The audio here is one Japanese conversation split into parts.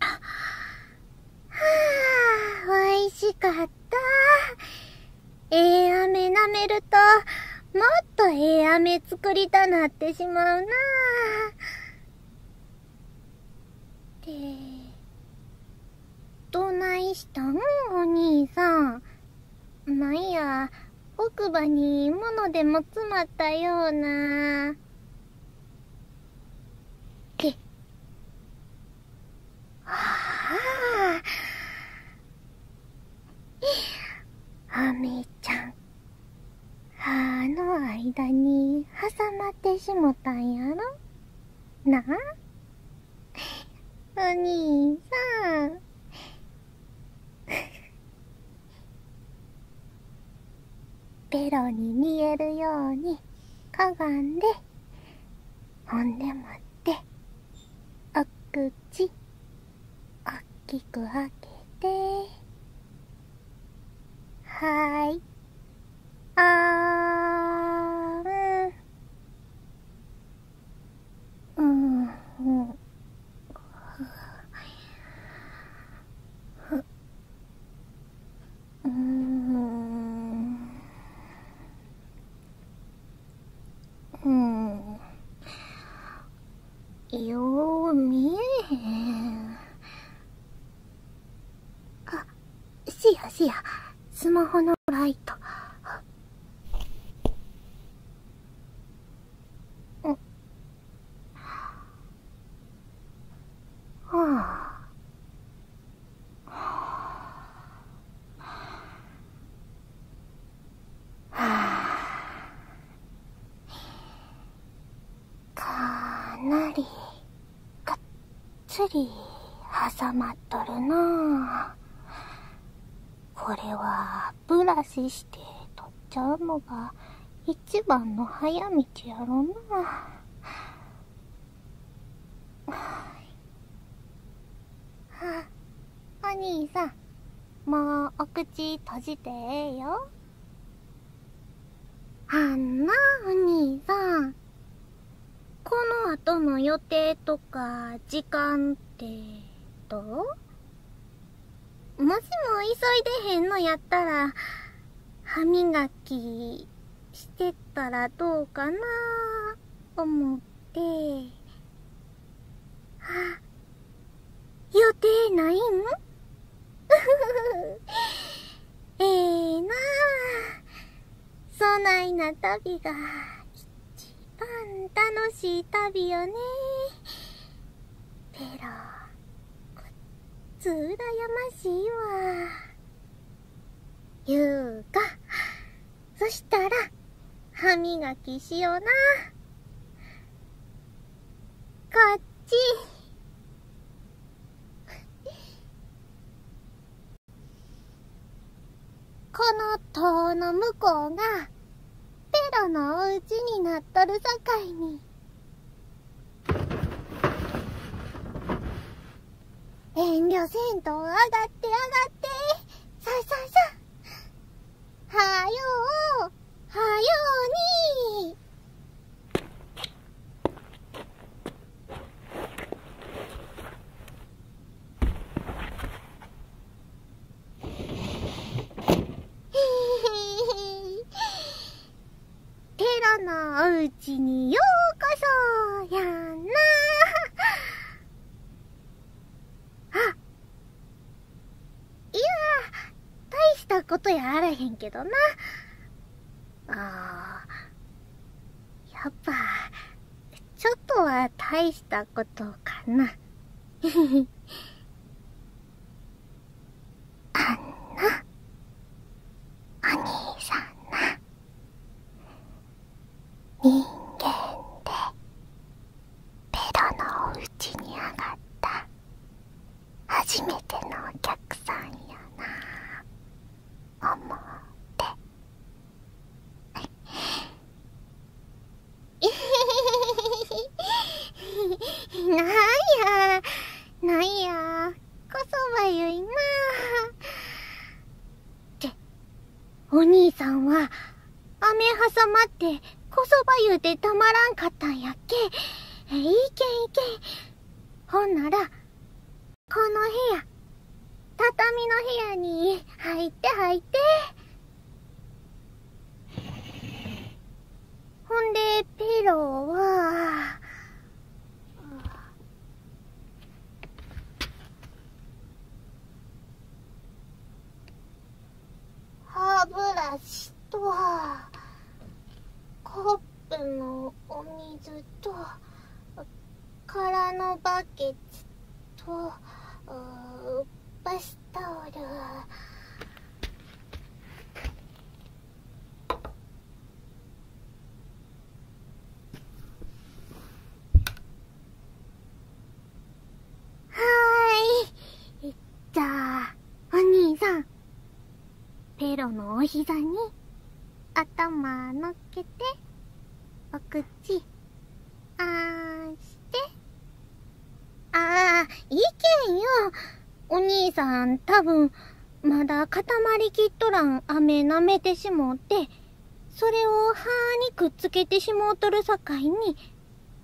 あしかった。ええー、飴舐めると、もっとええー、飴作りたなってしまうなって、どないしたんお兄さん。なんや奥歯に物でも詰まったようなけああアメちゃん歯の間に挟まってしもたんやろなあお兄さんベロに見えるようにかがんでほんでもってお口おっきく開けてはいあーんうんうんうんうんよう見えへんあっ、しやしやスマホのライトうんはあかなりがっつり挟まっとるなあこれはブラシして取っちゃうのが一番の早道やろな。あ、お兄さん、もうお口閉じてええよ。あんな、お兄さん。この後の予定とか時間ってどうもしも急いでへんのやったら歯磨きしてったらどうかな思ってあ予定ないん ええなあそないな旅が一番楽しい旅よねペロこっつうらやましいわゆうかそしたら歯磨きしようなこっちこの塔の向こうが、ペロのおうちになっとるさかいに。遠慮せんと上がって上がって。さささはよう、はように。テラのおうちにようこそやなあいや大したことやあらへんけどなああやっぱちょっとは大したことかな あんなお兄さんな人間でベロのうちに上がった初めてのお客さんやな思って。なんや、なんや、こそばゆいなって、お兄さんは、雨挟まって、こそばゆうてたまらんかったんやっけ。いけんいけん。ほんなら、この部屋畳の部屋に入って入ってほんでペローは歯ブラシとコップのお水と空のバケとバスタオルはいじゃあお兄さんペロのお膝に頭のっけておて。口あしてああいけんよお兄さん多分まだ固まりきっとらん飴舐めてしもうてそれを歯にくっつけてしもうとるさかいに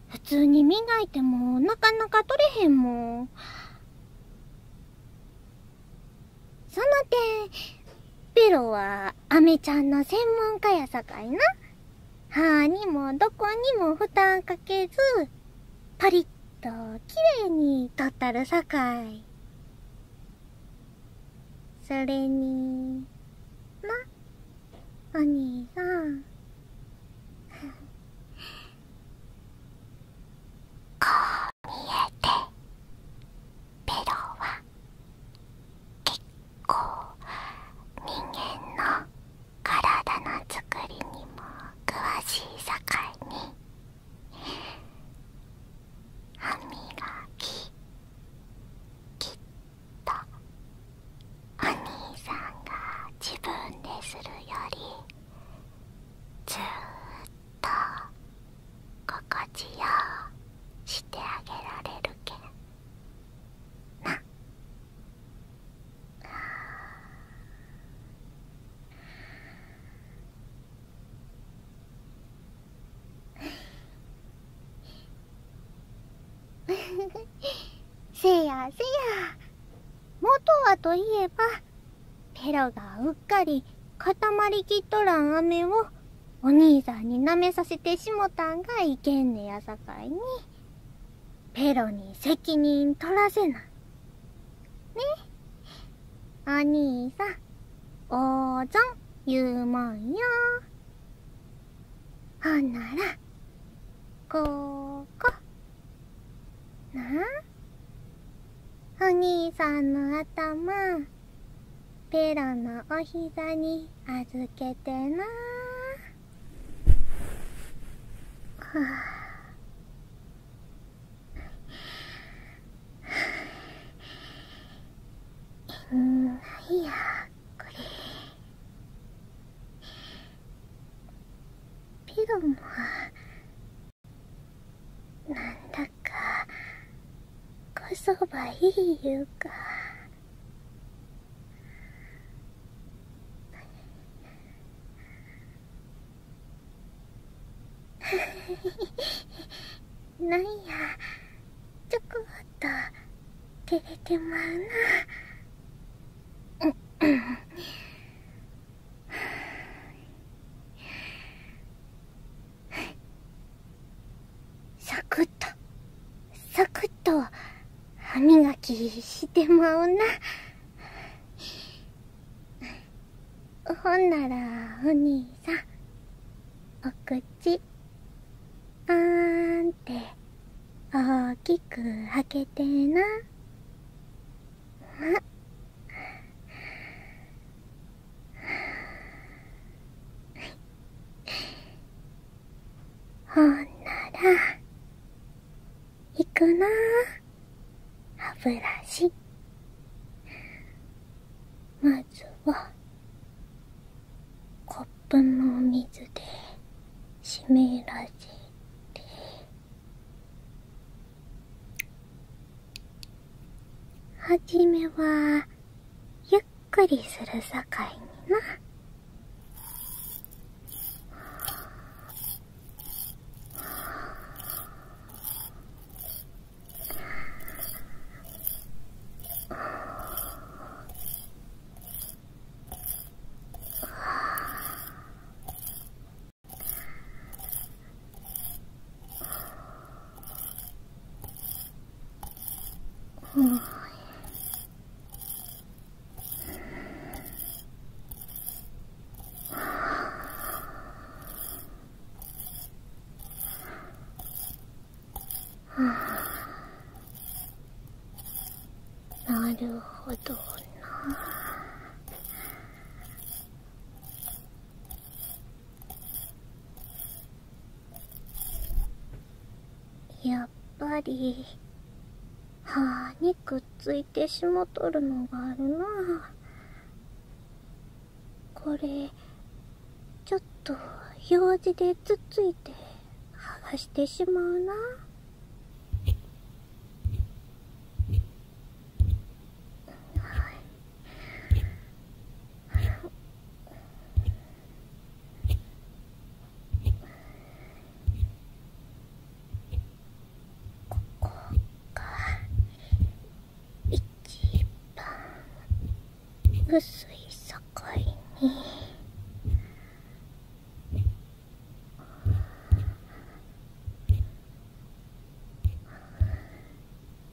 普通に磨いてもなかなか取れへんもん。その点、ベロはアメちゃんの専門家やさかいな。歯にもどこにも負担かけず、パリッと綺麗にとったるさかい。それに、な、お兄さん。こう見えて、ベロは結構人間の体のつくりにも詳しい境に歯磨ききっとお兄さんが自分でするよりずっと心地よしてあげられるけ せやせや元はといえばペロがうっかり固まりきっとらん飴をお兄さんに舐めさせてしもたんがいけんねやさかいに、ペロに責任取らせない。ねお兄さん、おーぞん言うもんよ。ほんなら、ここ。なあお兄さんの頭、ペロのお膝に預けてなはあないやこれペロもなんだかこそばいいゆうかフ なんやちょこっと照れてまうなう、うん。サクッとサクッと歯磨きしてまうなほんならお兄さんお口あーんって大きく開けてな。ほんならいくな歯ブラシまずはコップのお水で湿らせてはじめはゆっくりするさかいにな。はあ。なるほどな。やっぱり歯にくっついてしもとるのがあるなこれちょっと用事でつっついてはがしてしまうな。ここが一番薄い境に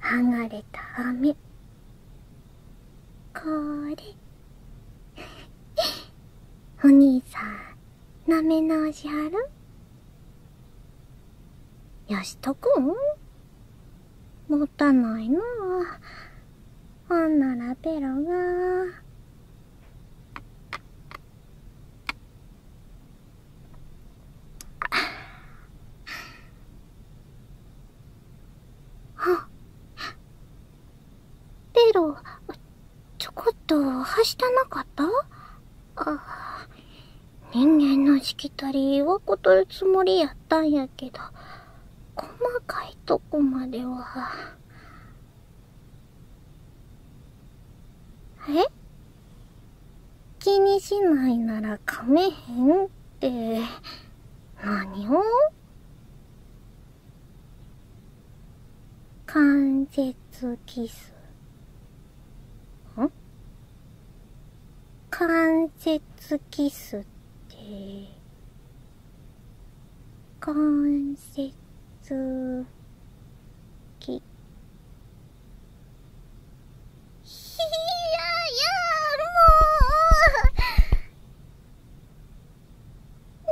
剥がれた飴これ お兄さんなめ直しはるよしとくんもったないなほんならペロがあ。あ。ペロ、ちょこっとはしたなかったあ人間のしきたりはことるつもりやったんやけど、細かいとこまでは。え気にしないならかめへんって何を関節キスん関節キスって関節キやや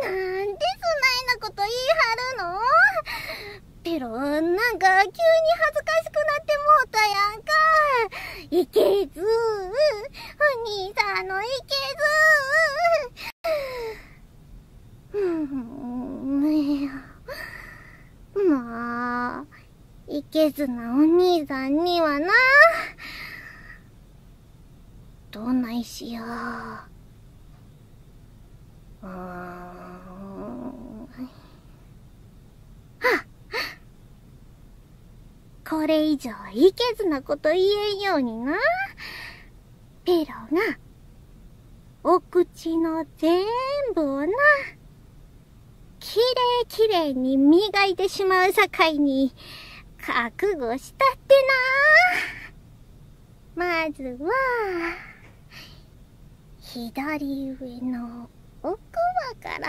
もなんでそなないこと言るのロんか急に恥ずかしくなってもうたやんか。いけずお兄さんのいけずふうん、まあ。いけずなお兄さんにはなどないしようあ。っこれ以上いけずなこと言えんようになペロがお口の全部をなきれいきれいに磨いてしまうさかいに、覚悟したってなまずは、左上のお奥まから、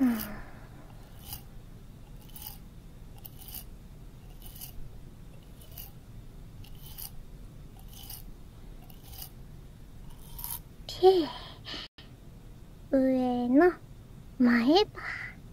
うん上の前歯。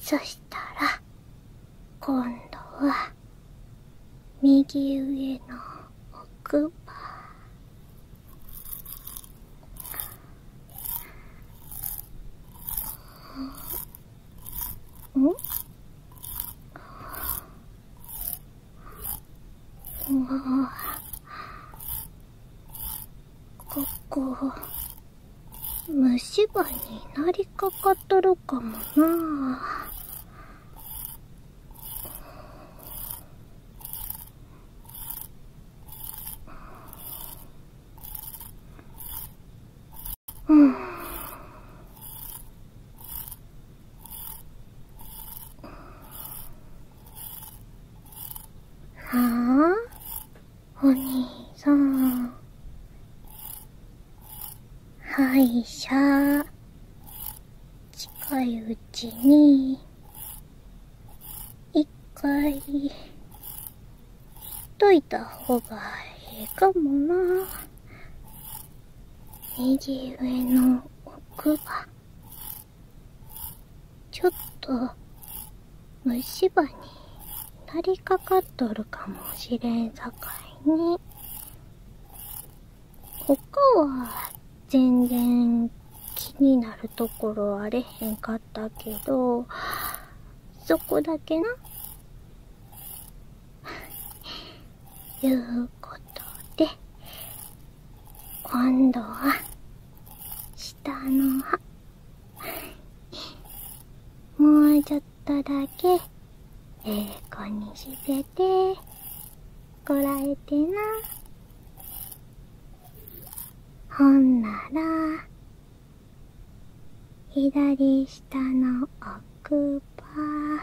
そしたら今度は右上の奥歯うんもうここ、虫歯になりかかっとるかもなぁ。はあお兄さん歯医者近いうちに一回しといた方がええかもな右上の奥歯ちょっと虫歯になりかかっとるかもしれんさかいに他は全然気になるところあれへんかったけどそこだけな いうことで今度は下の歯もうちょっとだけええ子にしててこらえてなほんなら左下の奥歯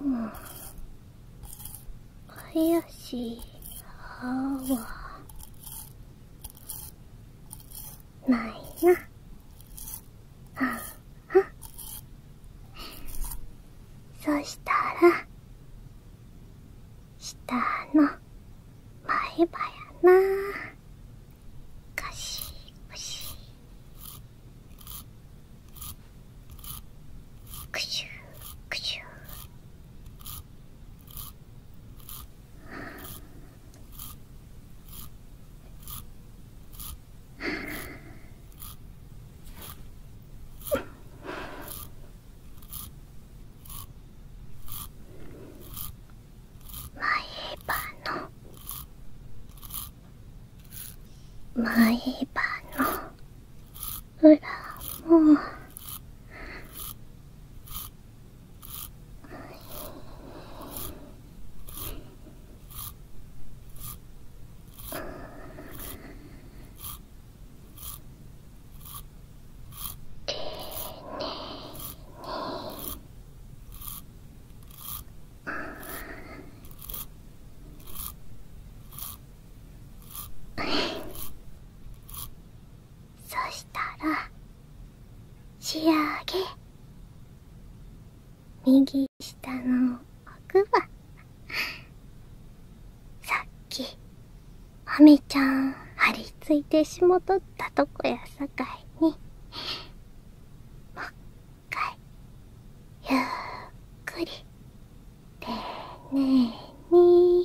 うん林歯はないな。そしたら、下の前歯やな。かしむしくしゅくしゅあ前歯の前歯の裏もそしたら仕上げ右下の奥は。さっきアメちゃん張り付いてしもとったとこやさかいにもっかいゆっくり丁寧にうん。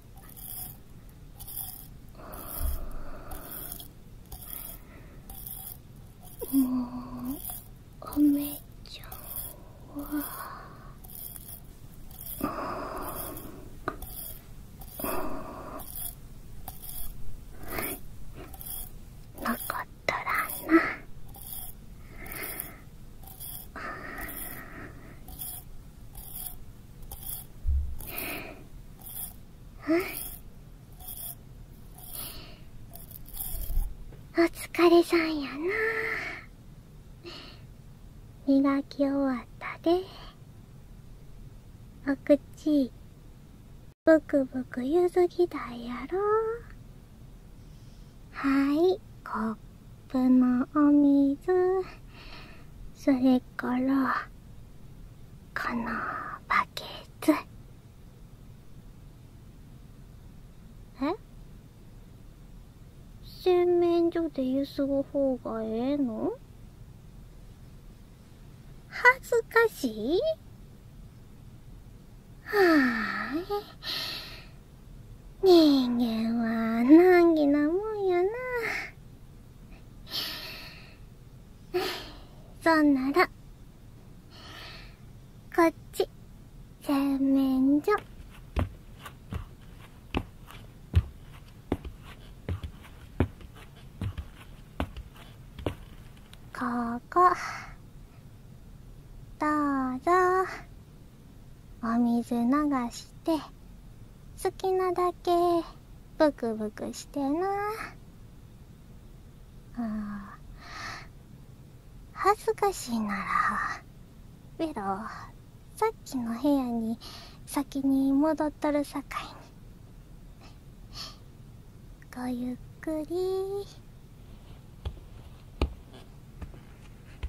もうお姉ちゃんは。ううん。ん。かっとらんな。うんお疲れさんやな磨き終わったでお口ブクブクゆずぎだやろはいコップのお水それからこのバケツえ洗面所でゆすぐうがええの恥ずかしいはーい人間は難儀なもんやなそんなら、こっち、洗面所。ここ、どうぞ、お水流して、好きなだけブクブクしてなあ恥ずかしいならベロさっきの部屋に先に戻っとるさかいにごゆっくり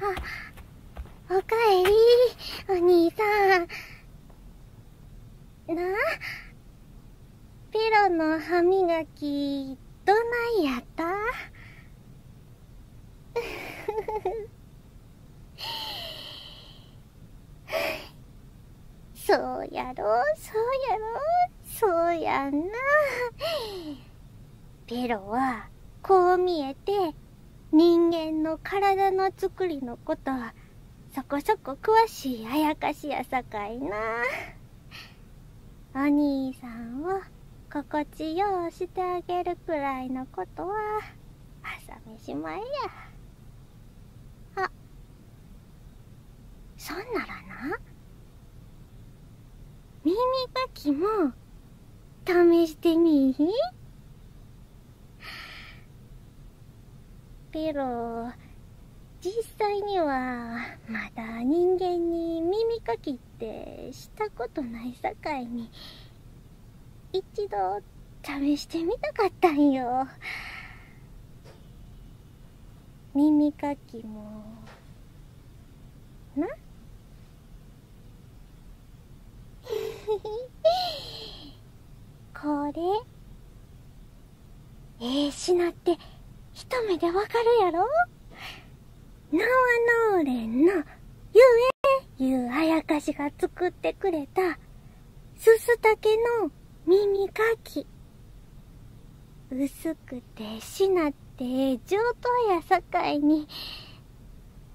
あ、おかえり、お兄さん。なあ、ペロの歯磨き、どないやった そうやろ、そうやろ、そうやんな。ペロはこう見えて人間の体の作りのことはそこそこ詳しいあやかしやさかいなお兄さんを心地ようしてあげるくらいのことは朝飯前やあそんならな耳かきも試してみーペロ実際にはまだ人間に耳かきってしたことないさかいに一度試してみたかったんよ耳かきもな これええー、品って一目でわかるやろナワノーレンのゆえゆうあやかしが作ってくれたすすたけの耳かきずしなって上等やさかいに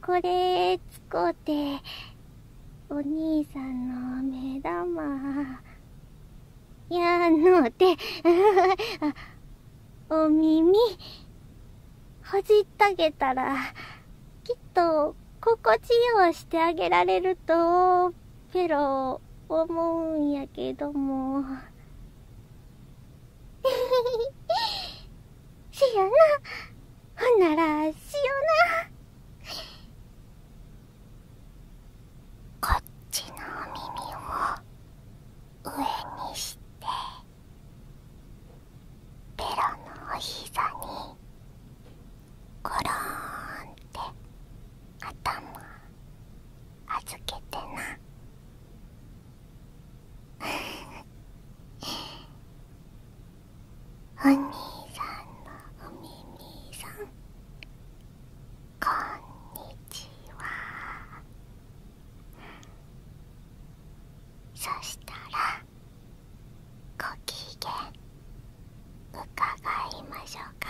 これ使うてお兄さんの目玉やので お耳ほじったげたらきっと心地よしてあげられるとぺろロ思うんやけども。しよな。ほんなら、しよな。こっちのお耳を上にして、ベロのお膝に、ゴローンって頭預けてな。お兄さんのお耳さんこんにちはそしたらご機嫌伺いましょうか。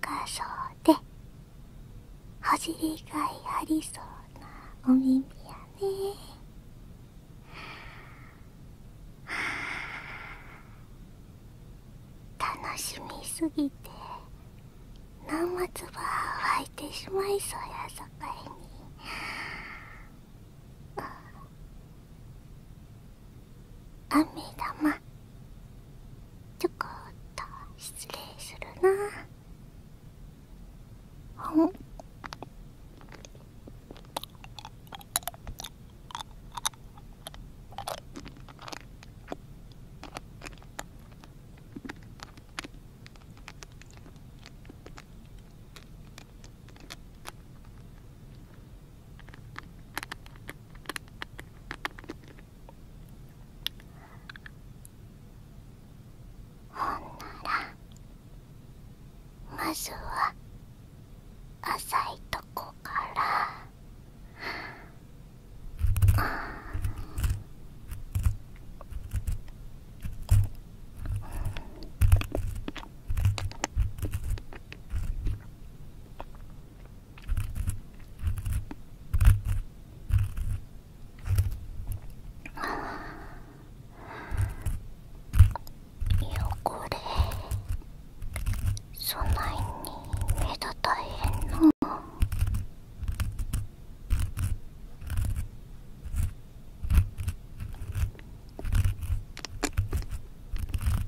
深そうでお尻がいありそうなお耳やね楽しみすぎて何もつ湧いてしまいそうやさかいに。あめ玉ちょこっと失礼するなほんほんならまずは浅いとこから、うんあこれそないに目立たへんの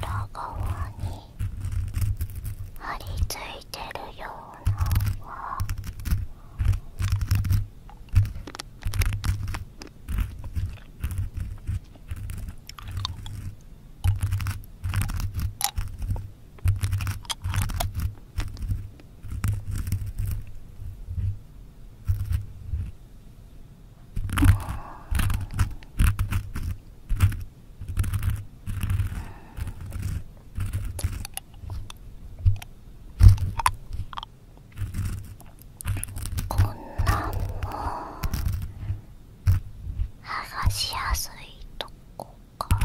裏側に張り付いてるようなのこんなんも剥がしやすいとこから。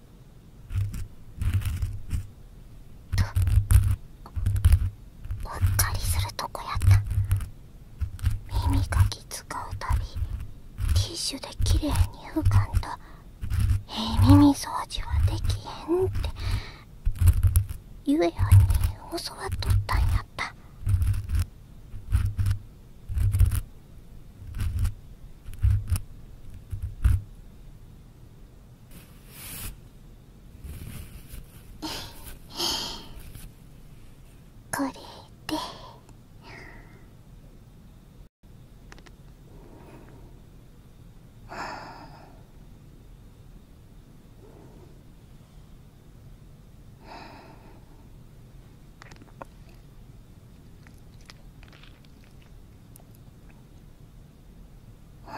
とうっかりするとこやった耳かき使うたびティッシュできれいに浮かんとええ耳掃除はできへんってゆえやんに教わっとったんやったこれで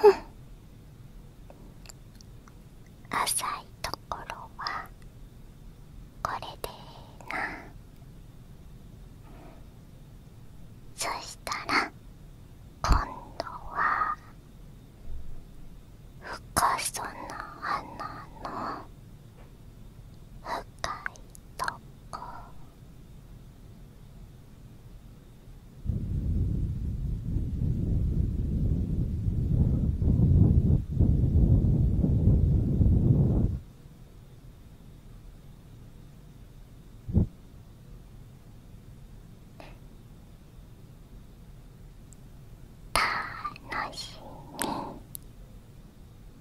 うん。浅いところはこれでなそしたら今度は深さの穴の深いとこたのしみ。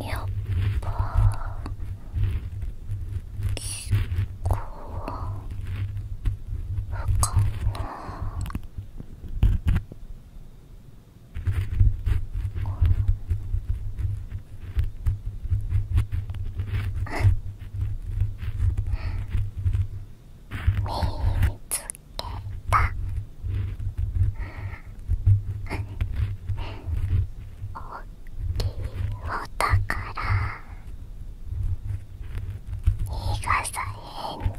やっぱ結構深か、な見つたおっきいお宝いがさへんで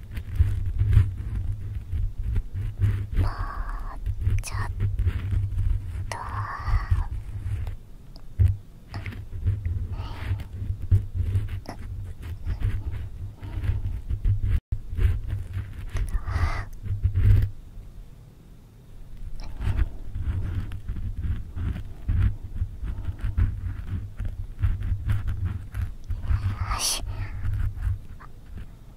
もうちょっとよし。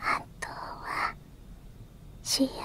あとは仕上げて。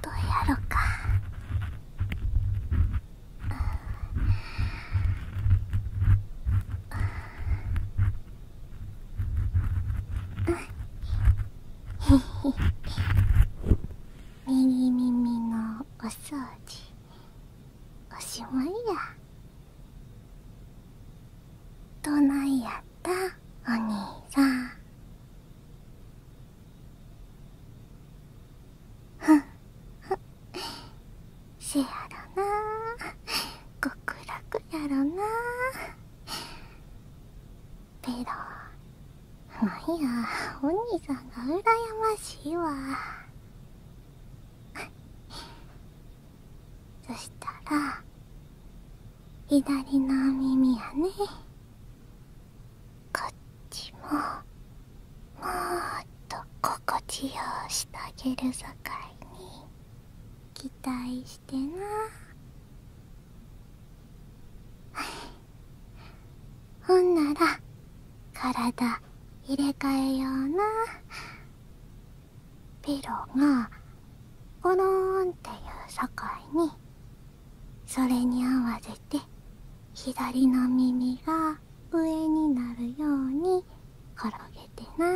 どうやろか右 耳のお掃除おしまいやどないやったお兄さんせやろな極楽やろなペロなんやお兄さんがうらやましいわそしたら左の耳やねこっちももっと心地よしてあげるさかいに期待してな ほんなら体入れ替えようなピロがゴロンっていう境にそれに合わせて左の耳が上になるように。転げてな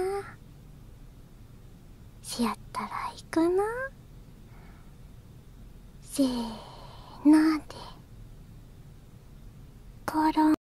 しやったらいくなせーのでころん